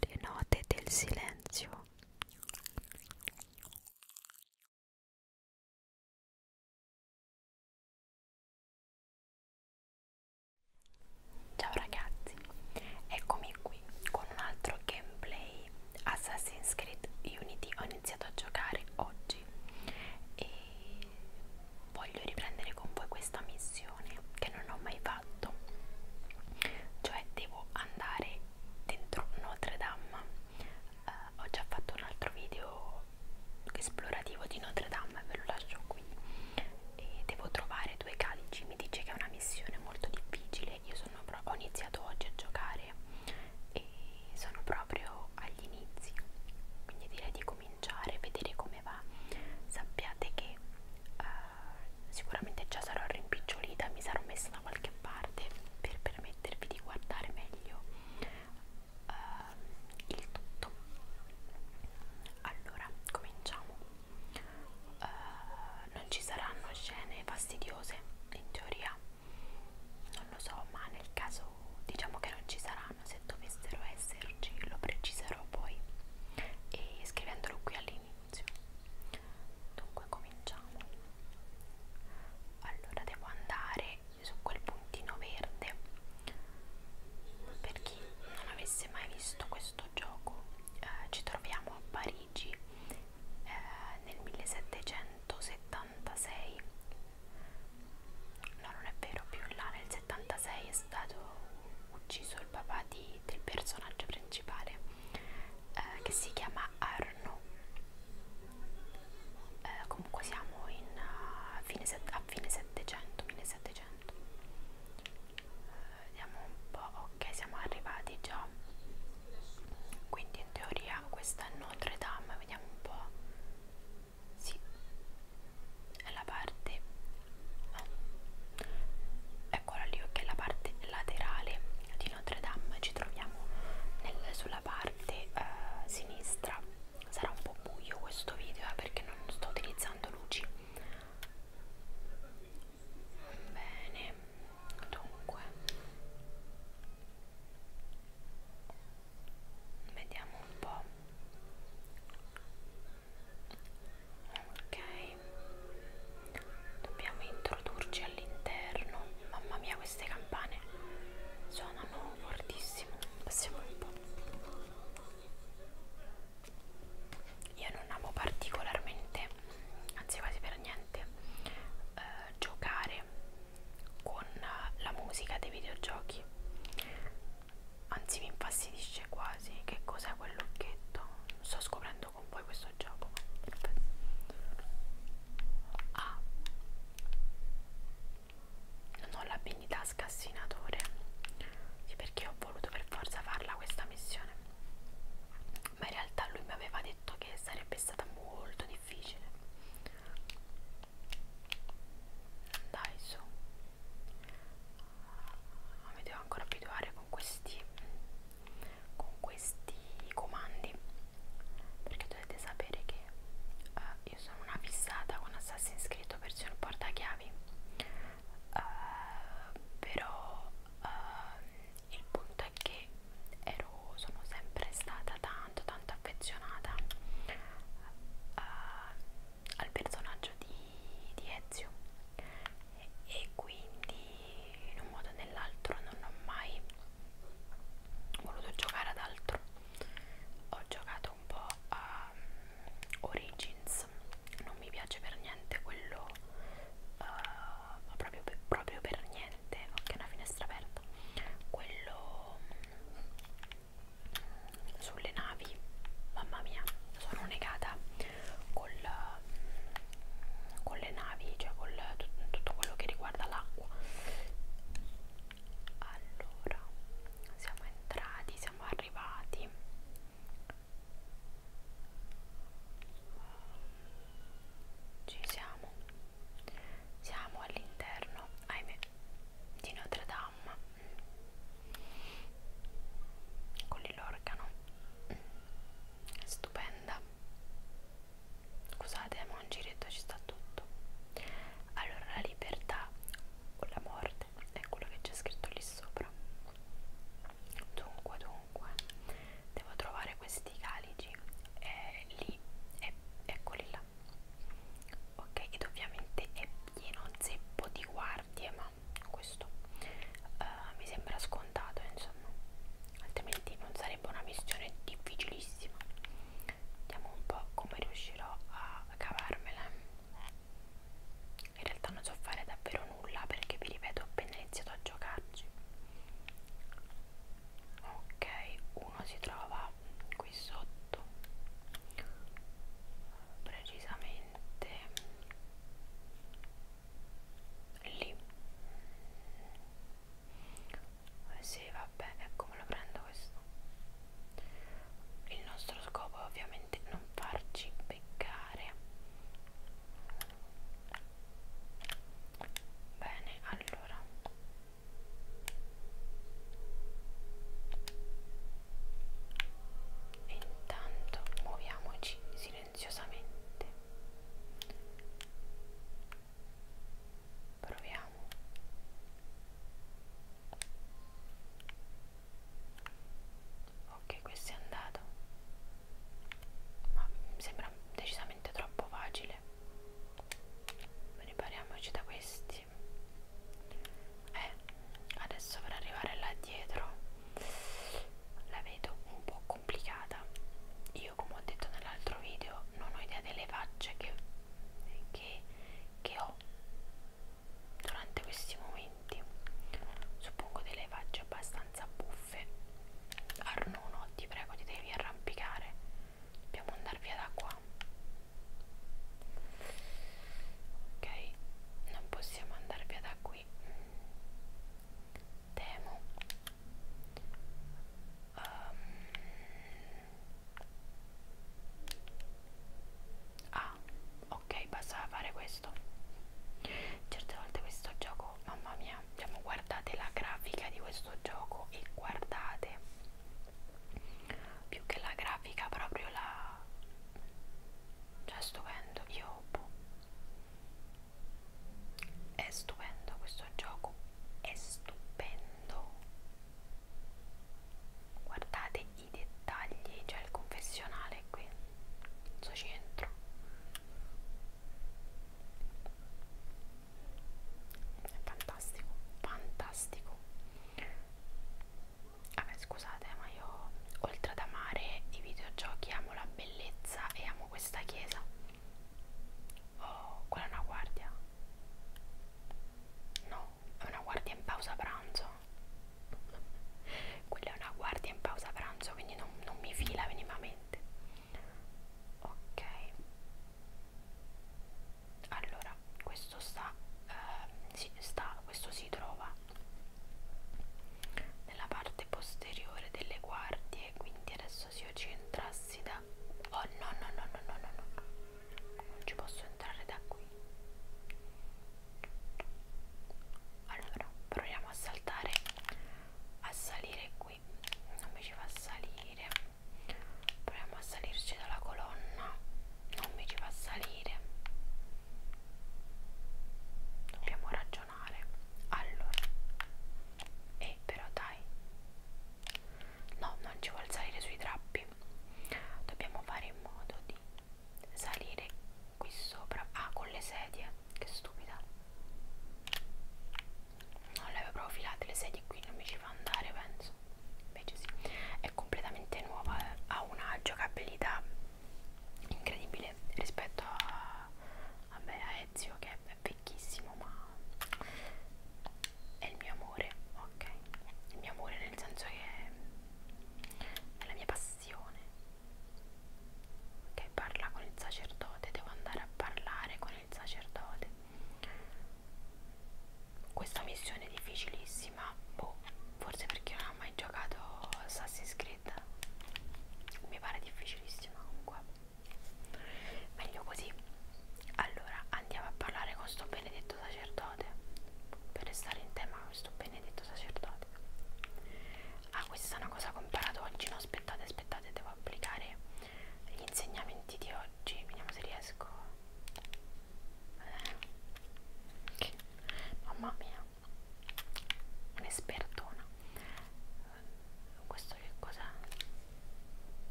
Le note del silenzio. Ciao ragazzi, eccomi qui con un altro gameplay Assassin's Creed Unity on iniziato a giocare oggi e voglio riprendere con voi questa missione che non ho mai fatto cioè devo andare dentro Notre Dame eh, ho già fatto un altro video esplorativo di Notre Dame ve lo lascio qui e devo trovare due calici mi dice che è una missione molto difficile io sono ho iniziato oggi a giocare e sono proprio detto agli inizi quindi direi di cominciare vedere come va sappiate che uh, sicuramente già sarò rimpicciolita mi sarò messa da qualche parte per permettervi di guardare meglio uh, il tutto allora cominciamo uh, non ci saranno scene fastidiose in teoria non lo so ma nel caso diciamo che non ci saranno se dovessero esserci lo preciserò poi e scrivendolo qui all'inizio dunque cominciamo allora devo andare su quel puntino verde per chi non avesse mai visto questo gioco eh, ci troviamo a Parigi eh, nel 1776 no non è vero più in là nel 76 è stato ucciso il papà di, del personaggio principale eh, che si chiama Arno eh, comunque siamo in, uh, fine a fine 700 1700 eh, vediamo un po' ok siamo arrivati già quindi in teoria questa è Notre Dame vediamo un po' sì è la parte no. Eh, eccola lì che è la parte laterale di Notre Dame ci troviamo nel, sulla parte eh, sinistra sarà un po' buio questo video eh, perché non sto utilizzando luci bene dunque vediamo un po' ok dobbiamo introdurci all'interno mamma mia queste campane suonano fortissimo passiamo un po' io non amo particolarmente anzi quasi per niente eh, giocare con la musica dei videogiochi anzi mi infastidisce quasi che cos'è quell'occhetto sto scoprendo con voi questo gioco perfetto ah non ho l'abilità scassinatore sì, perché ho voluto per forza farla questa missione ma in realtà lui mi aveva detto che sarebbe stata molto difficile dai su ah, mi devo ancora abituare con questi con questi comandi perché dovete sapere che uh, io sono una fissata con Assassin's Creed versione portachiavi uh, però uh, il punto è che ero, sono sempre stata tanto tanto affezionata uh, al personaggio di, di Ezio e, e quindi in un modo o nell'altro non ho mai voluto giocare ad altro ho giocato un po' a um, ehm, Origins non mi piace per niente quello uh, proprio, proprio per niente aperte ok una finestra aperta quello sulle navi mamma mia sono negata col, con le navi cioè con tutto quello che riguarda l'acqua allora siamo entrati siamo arrivati ci siamo siamo all'interno ahimè di Notre Dame con l'organo stupenda scusate eh, ma un giretto ci sta tutto allora la libertà o la morte è quello che c'è scritto lì sopra dunque dunque devo trovare questi calici eh, lì eh, eccoli là ok ed ovviamente è pieno zeppo di guardie ma questo uh, mi sembra scontato insomma altrimenti non sarebbe una missione difficilissima vediamo un po' come riuscirò a cavarmela in realtà non so fare davvero nulla perché vi ripeto ho appena iniziato a giocarci ok uno si trova qui sotto precisamente lì eh, sì vabbè ecco me lo prendo questo il nostro scopo è ovviamente non farci beccare bene allora intanto muoviamoci silenziosamente proviamo ok questo è andato ma mi sembra decisamente troppo facile ripariamoci da questi eh, adesso per arrivare là dietro la vedo un po' complicata io come ho detto nell'altro video non ho idea delle facce che, che, che ho durante questi momenti suppongo delle facce abbastanza buffe stoffe. Arnuno, ti prego, ti devi arrampicare. Dobbiamo andare via da qua. Ok, non possiamo andare via da qui. Temo. Um, ah, ok, basta fare que questo certe volte questo gioco mamma mia diciamo guardate la grafica di questo gioco e guardate più che la grafica proprio la cioè è stupendo io boh. è stupendo questo gioco è stupendo guardate i dettagli cioè il confessionale qui suo centro è fantastico fantastico vabbè scusate ma io oltre ad amare i videogiochi amo la bellezza e amo questa chiesa oh quella è una guardia no è una guardia in pausa pranzo quella è una guardia in pausa pranzo quindi non, non mi fila minimamente ok allora questo sta, eh, si, sta questo si trova nella parte posteriore delle guardie quindi adesso se io ci entrassi da oh no no no no no no no non ci posso entrare da qui allora proviamo a saltare a salire qui non mi ci fa salire proviamo a salirci dalla colonna non mi ci fa salire dobbiamo ragionare allora e eh, però dai no non ci vuol salire sui trappi dobbiamo fare in modo di salire qui sopra ah con le sedie che stupida non le avevo proprio filate le sedie qui non mi ci fa andare penso invece sì è completamente nuova eh. ha una giocabilità incredibile rispetto a vabbè a Ezio che è vecchissimo ma è il mio amore ok il mio amore nel senso che è la mia passione ok parla con il sacerdote devo andare a parlare con il sacerdote questa missione è difficilissima boh, forse perché non ho mai giocato Assassin's Creed mi pare difficilissima comunque meglio così allora andiamo a parlare con sto benedetto sacerdote per restare in tema con sto benedetto sacerdote ah questa è una cosa comparata oggi no aspettate aspettate devo applicare gli insegnamenti di oggi vediamo se riesco eh. mamma mia un'espertona questo che cos'è?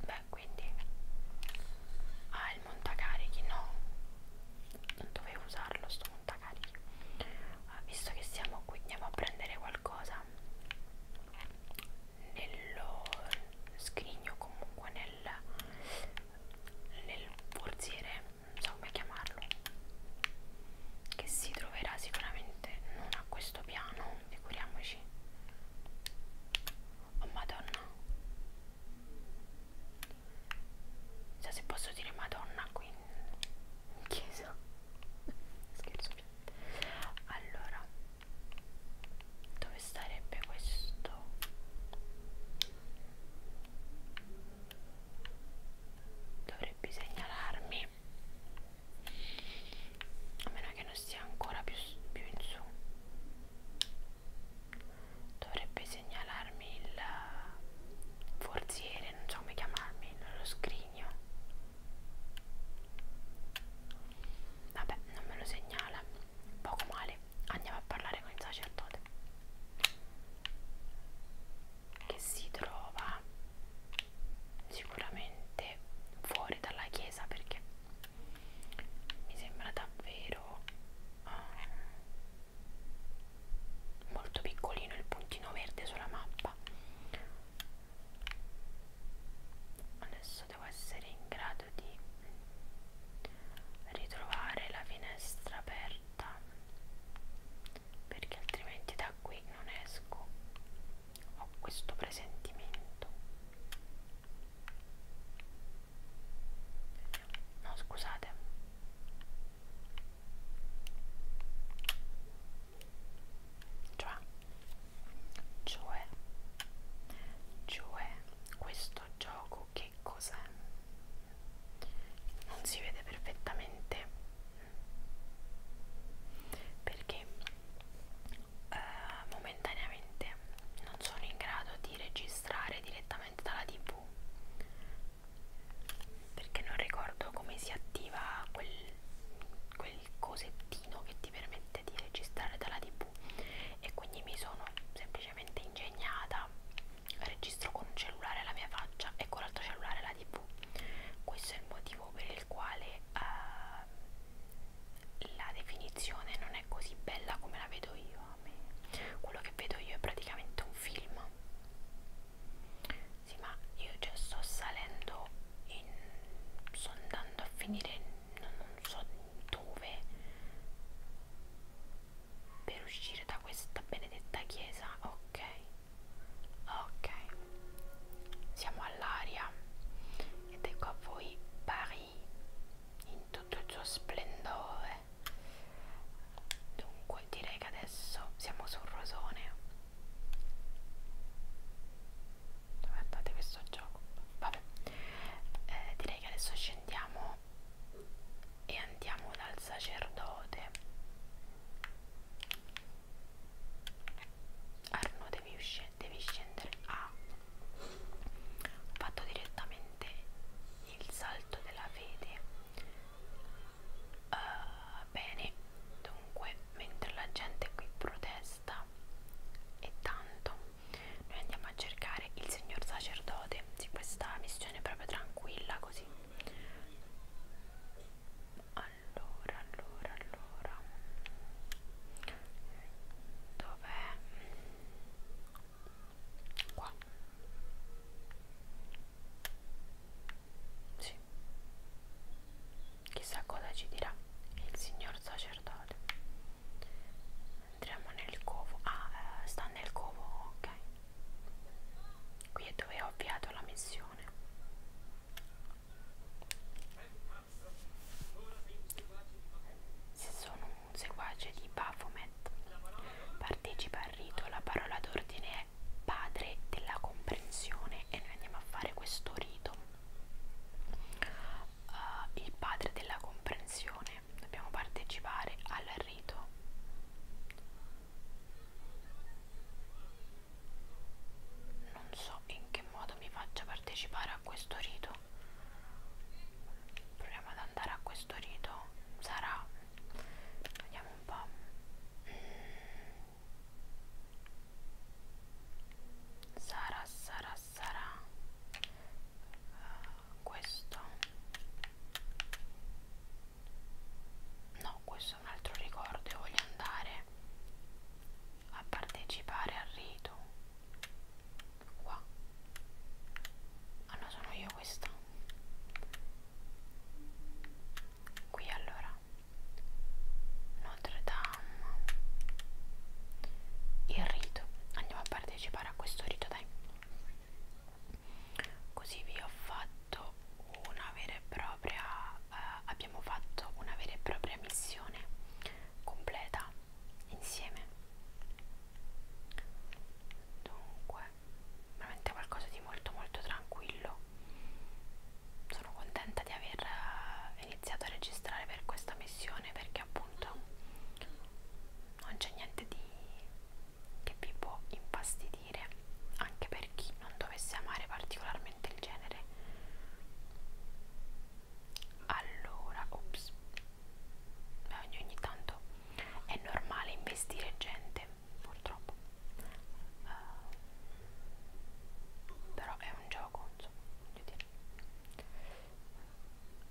beh quindi ah il montacarichi no non dovevo usarlo sto montacarichi uh, ah, visto che siamo qui andiamo a prendere qualcosa nello scrigno comunque nel nel borsiere non so come chiamarlo che si troverà sicuramente non a questo piano figuriamoci oh madonna so cioè, se posso dire madonna qui in chiesa scherzo allora dove starebbe questo dovrebbe segnalarmi a meno che non sia ancora più, più in su dovrebbe segnalarmi il eh, forziere, non so come chiamarmi, lo scrigno. Vabbè, non me lo segnala, poco male. Andiamo a parlare con il sacerdote che si trova sicuramente fuori dalla chiesa perché mi sembra davvero uh, molto piccolino il puntino verde sulla mappa adesso devo essere in grado di ritrovare la finestra aperta perché altrimenti da qui non esco ho questo presentimento no scusate cioè cioè cioè questo gioco che cos'è non si vede perfettamente perché eh, momentaneamente non sono in grado di registrare direttamente dalla tv perché non ricordo come si attiva quel, quel cosettino che ti permette di registrare dalla tv e quindi mi sono semplicemente ingegnata registro con un cellulare la mia faccia e con l'altro cellulare la tv questo è il motivo per il quale eh, la definizione non è così bella come la vedo io a me quello che vedo io è praticamente un film sì ma io già sto salendo in, sto andando a finire non, non so dove per uscire da questa benedetta chiesa ok ok siamo all'aria ed ecco a voi Paris in tutto il suo splendore dunque direi che adesso siamo sul rosone guardate questo gioco vabbè eh, direi che adesso scendiamo e andiamo dal sacerdote Arno devi uscire devi scendere a ho fatto direttamente il salto della fede uh, bene dunque mentre la gente qui protesta e tanto noi andiamo a cercare il signor sacerdote di questa missione proprio tranquilla così allora allora allora dov'è qua sì chissà cosa ci dirà il signor sacerdote entriamo nel covo ah eh, sta nel covo ok qui è dove ho avviato la missione se sono un seguace di Baphomet, partecipa al rito, la parola d'ordine è padre della comprensione e noi andiamo a fare questo rito. Uh, il padre della comprensione, dobbiamo partecipare al rito. Non so in che modo mi faccia partecipare a questo rito proviamo ad andare a questo rito sarà vediamo un po' sarà sarà sarà uh, eh, questo no questo è un altro ricordo voglio andare a partecipare al rito qua ah no sono io questa qui allora Notre Dame il rito andiamo a partecipare a questo rito dai così vi ho fatto una vera e propria eh, abbiamo fatto una vera e propria missione completa insieme dunque veramente qualcosa di molto molto tranquillo sono contenta di aver eh, iniziato a registrare per questa missione perché appunto non c'è niente di che vi può impastidire anche per chi non dovesse amare particolarmente il genere allora ops ogni, ogni tanto è normale investire gente purtroppo uh, però è un gioco insomma voglio dire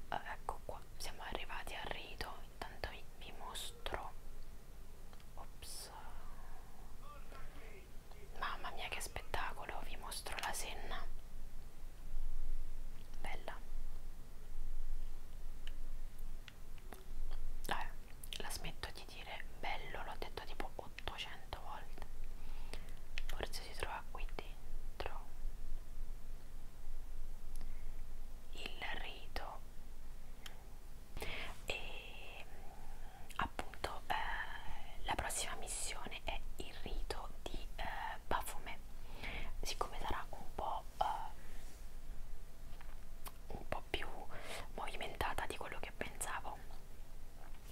uh, ecco qua siamo arrivati al rito intanto vi, vi mostro ops Mamma mia che spettacolo, vi mostro la Senna. Bella. Dai, la smetto di dire bello, l'ho detto tipo 800 volte. Forse si trova qui dentro. Il rito. E appunto eh, la prossima missione è il rito di eh, Bafume siccome sarà un po' eh, un po' più movimentata di quello che pensavo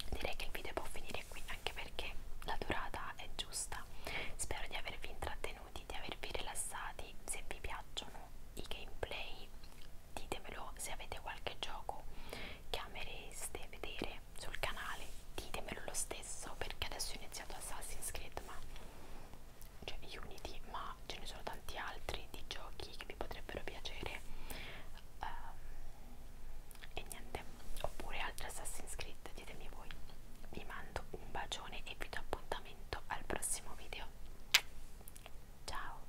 direi che il video può finire qui anche perché la durata è giusta spero di avervi intrattenuti di avervi rilassati se vi piacciono i gameplay ditemelo se avete qualche gioco che amereste vedere volete sul canale ditemelo lo stesso perché adesso ho iniziato Assassin's Creed ma cioè Unity ma ce ne sono tanti altri di giochi che vi potrebbero piacere um, e niente oppure altri Assassin's Creed ditemi voi vi mando un bacione e vi do appuntamento al prossimo video ciao